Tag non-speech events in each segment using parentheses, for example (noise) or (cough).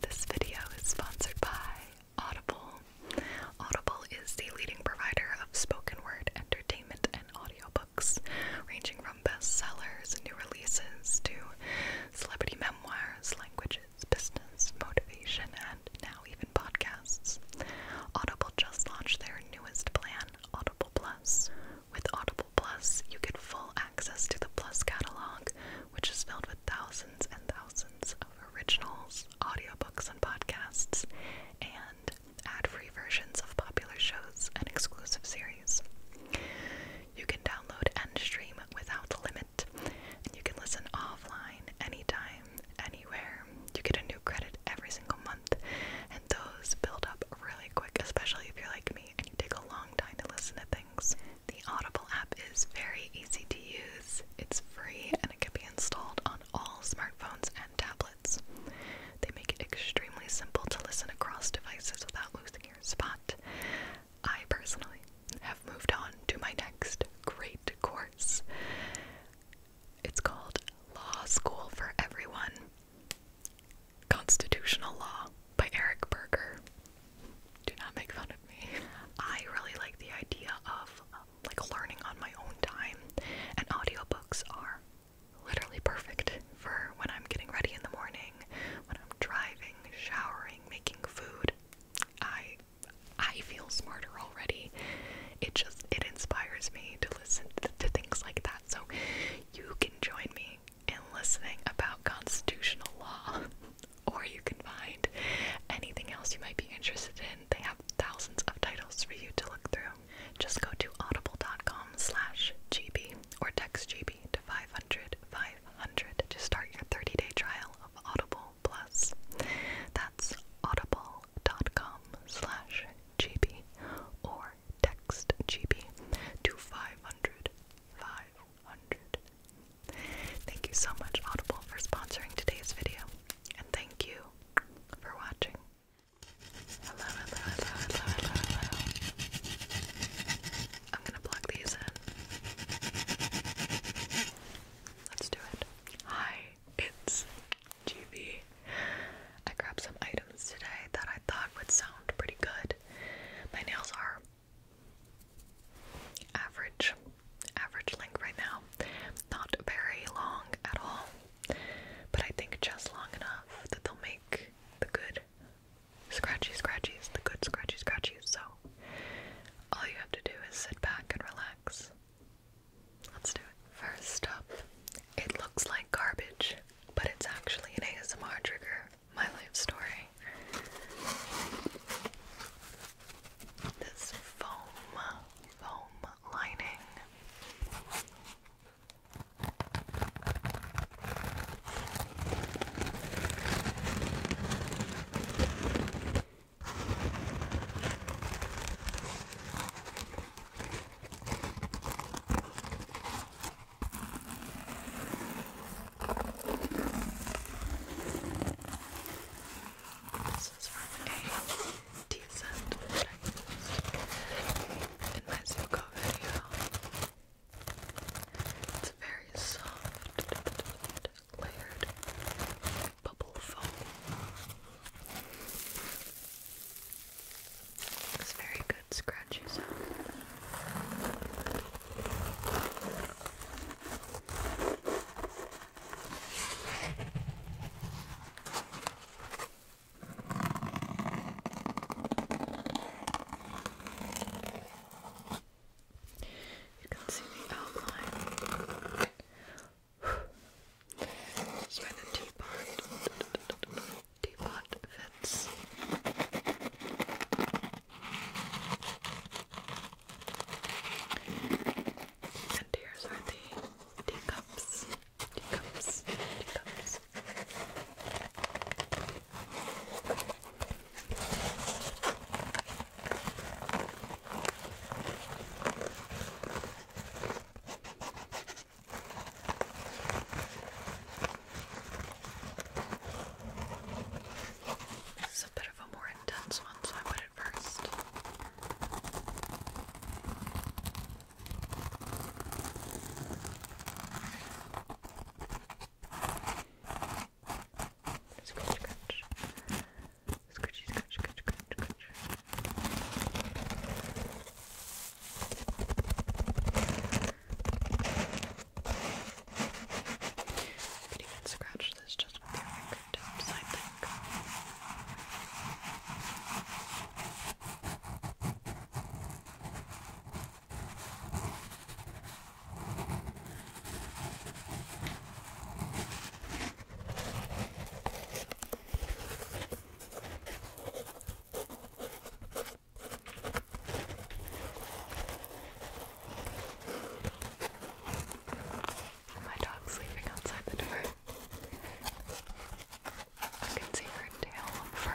This video is sponsored by Audible. Audible is the leading provider of spoken word entertainment and audiobooks, ranging from bestsellers, new releases, to celebrity memoirs, languages, business, motivation, and now even podcasts. Audible just launched their newest plan, Audible Plus. With Audible Plus, you get full access to the Plus catalog, which is filled with thousands and thousands of originals, audiobooks, and podcasts, and ad free versions of popular shows and exclusive series. You can download and stream without limit, and you can listen offline anytime, anywhere. You get a new credit every single month, and those build up really quick, especially if you're like me and you take a long time to listen to things. The Audible app is very easy to use, it's free, and it can be installed on all smartphones and tablets. They make it extremely simple to listen across devices without losing your spot. I personally have moved on to my next great course. It's called Law School for Everyone. Constitutional Law by Eric Berger. Do not make fun of me. I really like the idea of um, like learning on my own time, and audiobooks are literally perfect for when I'm getting ready in the morning, when I'm driving, showering, making food. I I feel smarter already. It just it inspires me to listen to things like that. So you can join me reading and listening about constitutional law, (laughs) or you can find anything else you might be interested in. They have thousands of titles for you to look through. Just go to audible.com slash GB or text GB to 500 500 to start your 30-day trial of Audible Plus. That's audible.com slash GB or text GB to 500 500 hundred. Thank you so much, Audible, for sponsoring today's video, and thank you for watching. Hello, hello, hello, hello, hello, hello. I'm gonna plug these in. Let's do it. Hi, it's GB. I grabbed some items today that I thought would sound pretty good. My nails are Average, average length right now. Not very long at all, but I think just long enough that they'll make the good scratchy scratchies, the good scratchy scratchies. So all you have to do is sit back and relax. Let's do it. First up, it looks like garbage, but it's actually an ASMR trigger my life story. This foam, foam lining. This is from a decent that in my Zuko video. It's very soft, layered bubble foam. It's very good good scratchy sound. You can see the outline. It's by the teapot teapot fits. And here's are the teacups. Teacups. Teacups. This is a bit of a more intense one, so I put it first. Scratch, scratch. Scratchy, scratch, scratch, scratch, scratch. You could even scratch this just with your fingertips, I think. Okay. My dog's sleeping outside the door. I can see her tail of fur.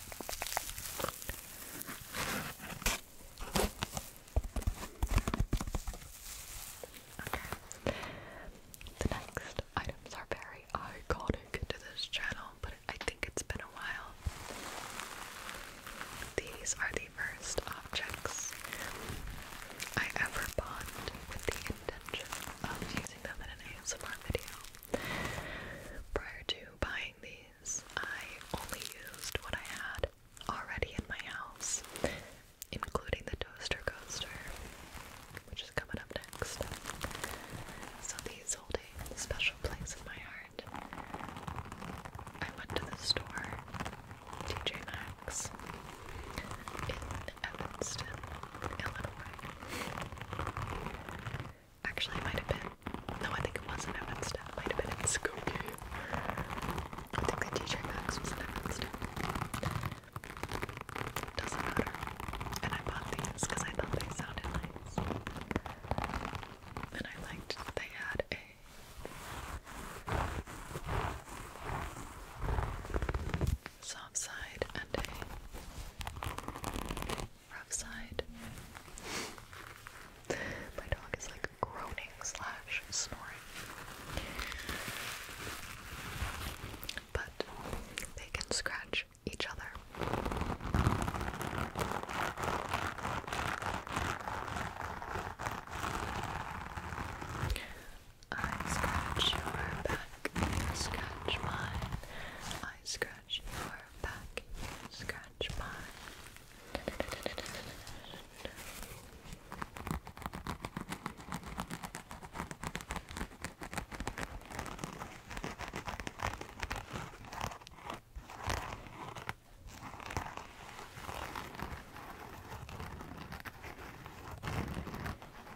Okay. The next items are very iconic to this channel, but I think it's been a while. These are the first objects I ever bought with the intention of using them in an ASMR video. Prior to buying these, I only used what I had already in my house, including the toaster coaster, which is coming up next. So these hold a special place in my heart. I went to the store, TJ Maxx, in Evanston, Illinois. Actually, it might have been. No, I think it wasn't Evanston. It might have been in Skokie. I think the teacher Max was in Evanston. Doesn't matter. And I bought these because I thought they sounded nice. And I liked they had a. Soft side and a rough side. My dog is like groaning slash snoring. But they can scratch each other. I scratch your back, you scratch mine scratch your back, you scratch mine.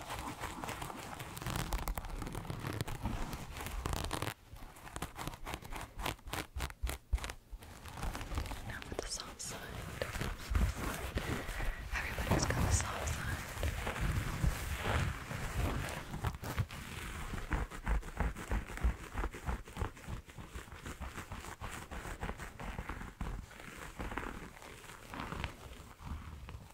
Now for the soft side. Everybody's got the soft side. Okay.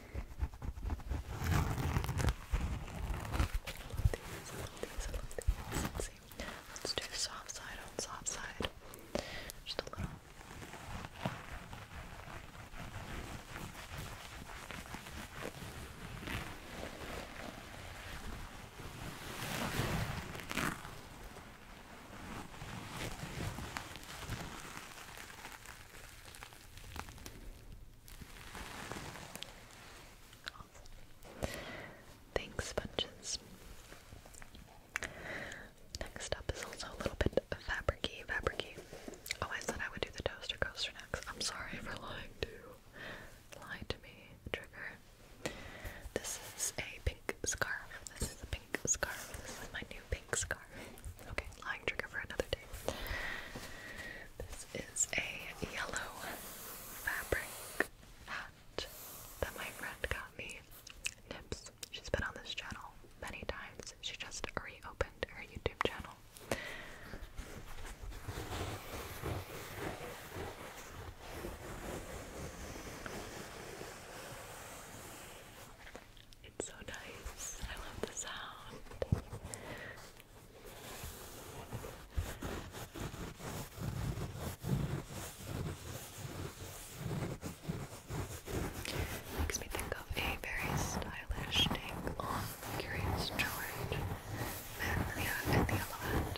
these, I love these. Let's see. Let's do the soft side on soft side. Just a little. Okay, Thanks, sponges. Next up is also a little bit fabricy, fabricy. Oh, I said I would do the toaster coaster next. I'm sorry for lying to you. to me, trigger. This is a pink scarf. This is a pink scarf. This is my new pink scarf. Okay, lying trigger for another day. This is a yellow fabric hat that my friend got me. Nips. She's been on this channel many times. She just reopened her YouTube channel. It's so nice. I love the sound. Makes me think of a very stylish take on Curious George and and the Elephant.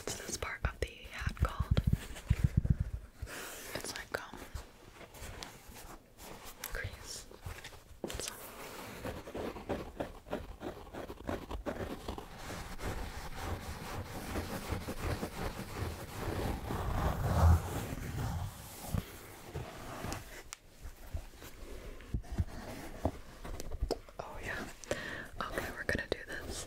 What's this part of the hat called? It's like um crease. Oh, yeah. Okay, we're gonna do this.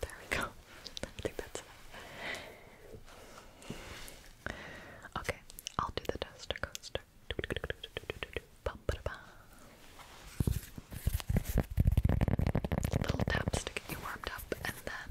There we go. (laughs) I think that's enough. Okay, I'll do the duster coaster. Little taps to get you warmed up, and then.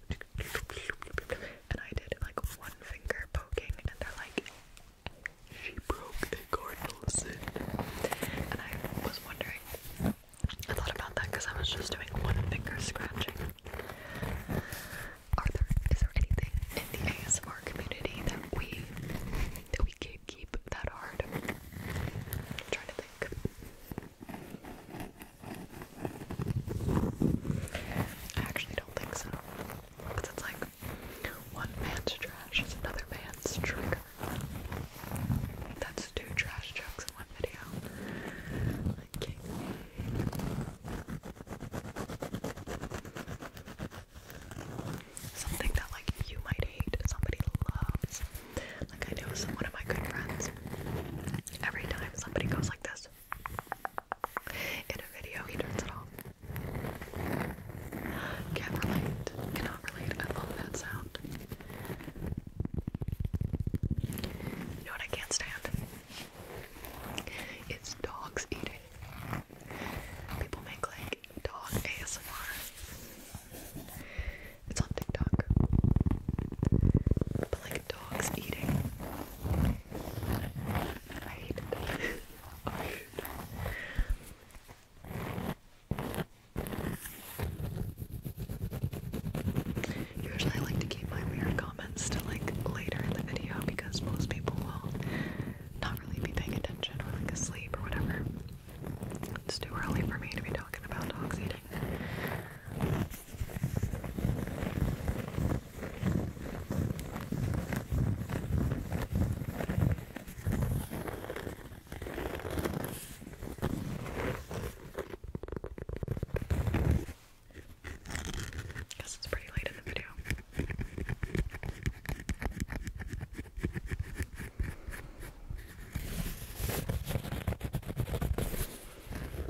and I did like one finger poking, and they're like, she broke a cardinal sin. And I was wondering, I thought about that because I was just doing one finger scratching. Are there is there anything in the ASMR community that we that we can keep that hard? I'm trying to think. I actually don't think so. Because it's like one man's trash is another man's trigger. That's two trash jokes in one video. Something that like you might hate, somebody loves. Like I know someone of my good friends Every time somebody goes like this in a video, he turns it off. Can't relate. Cannot relate. I love that sound. You know what I can't stand? It's dogs eating. People make like dog ASMR. It's on TikTok. But like dogs eating. (laughs) Usually I like to keep my weird comments to like later in the video because most people will not really be paying attention or like asleep or whatever. It's too early for me to be talking about dogs eating. Guess it's pretty late in the video.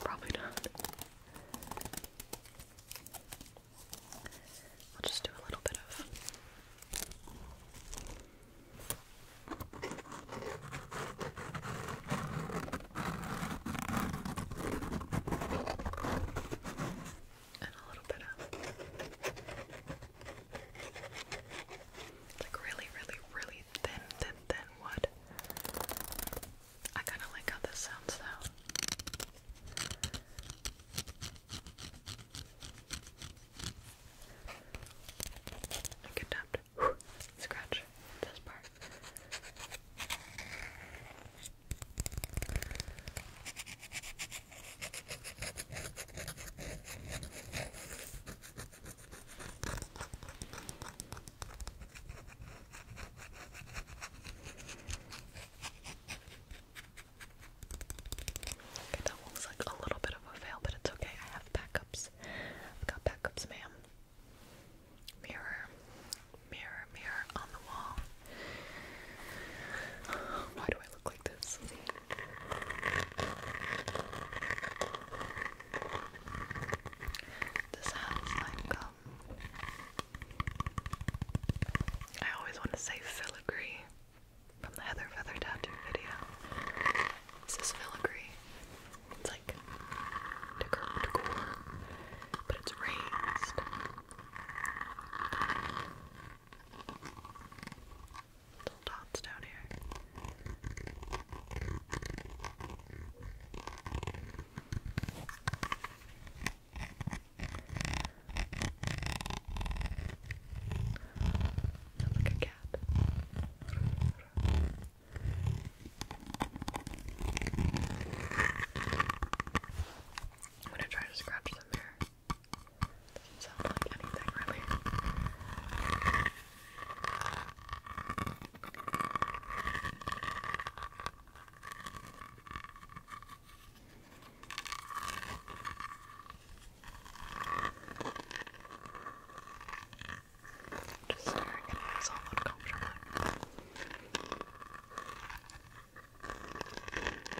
Probably not. I'll just do a little bit of. And a little bit of like really, really, really thin, thin, thin wood. I kind of like how this sounds now. I could scratch this part that looks like a little bit of a fail, but it's okay. I have backups. I've got backups, ma'am. Mirror, mirror, mirror on the wall. Why do I look like this? This has like um, I always want to say filigree from the Heather Feather tattoo video. This is filigree. It's like decor, decor, but it's raised little dots down here. Not like a cat. I'm gonna try to scratch them here. Doesn't sound like anything really. Just staring at this all uncomfortable.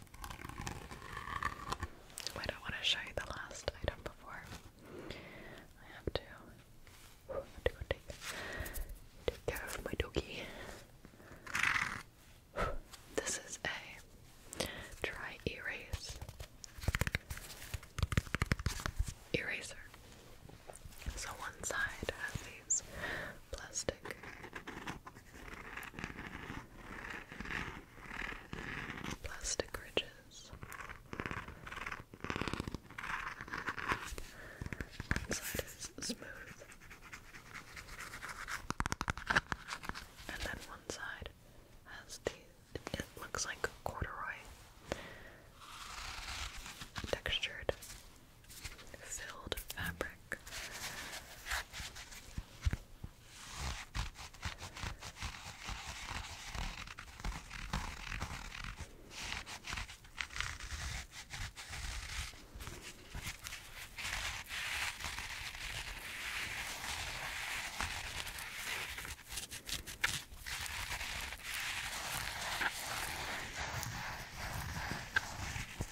I don't want to show you the last item before I have to, to take, take care of my doggy. This is a dry erase eraser. So one side has these plastic Plastic ridges. One side is smooth, and then one side has the it, looks like corduroy textured filled fabric.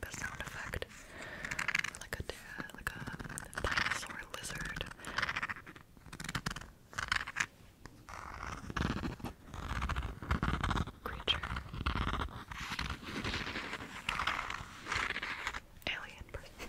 the sound effect, like a like a dinosaur lizard. Creature, alien person.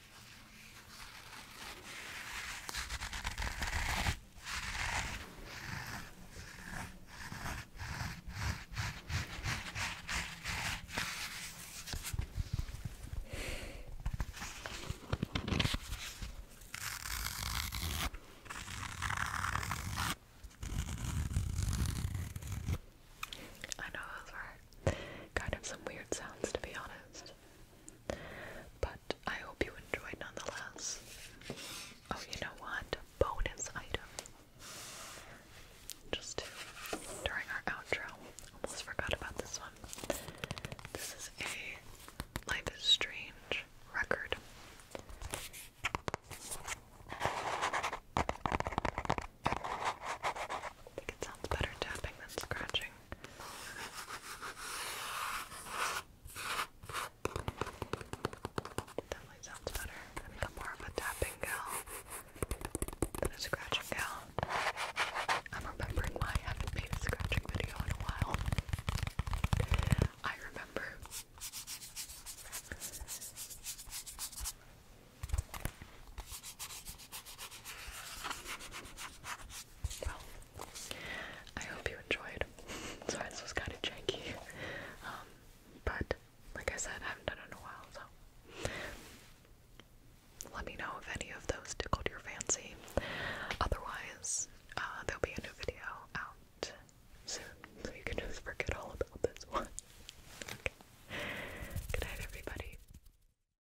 I know those were kind of some weird sounds to be honest. But I hope you enjoyed nonetheless. Oh, you know what? Bonus item. Just during our outro, almost forgot about this one. This is a Life is Strange record. I think it sounds better tapping than scratching. It definitely sounds better. I think I'm more of a tapping gal than a scratching gal. I'm remembering why I haven't made a scratching video in a while. I remember well, I hope you enjoyed. Sorry, this was kind of janky. but like I said, I haven't done it in a while, so let me know if any of those tickled your fancy. Otherwise, uh, there'll be a new video out soon, you can just forget all about this (laughs) one. Okay. Good night, everybody.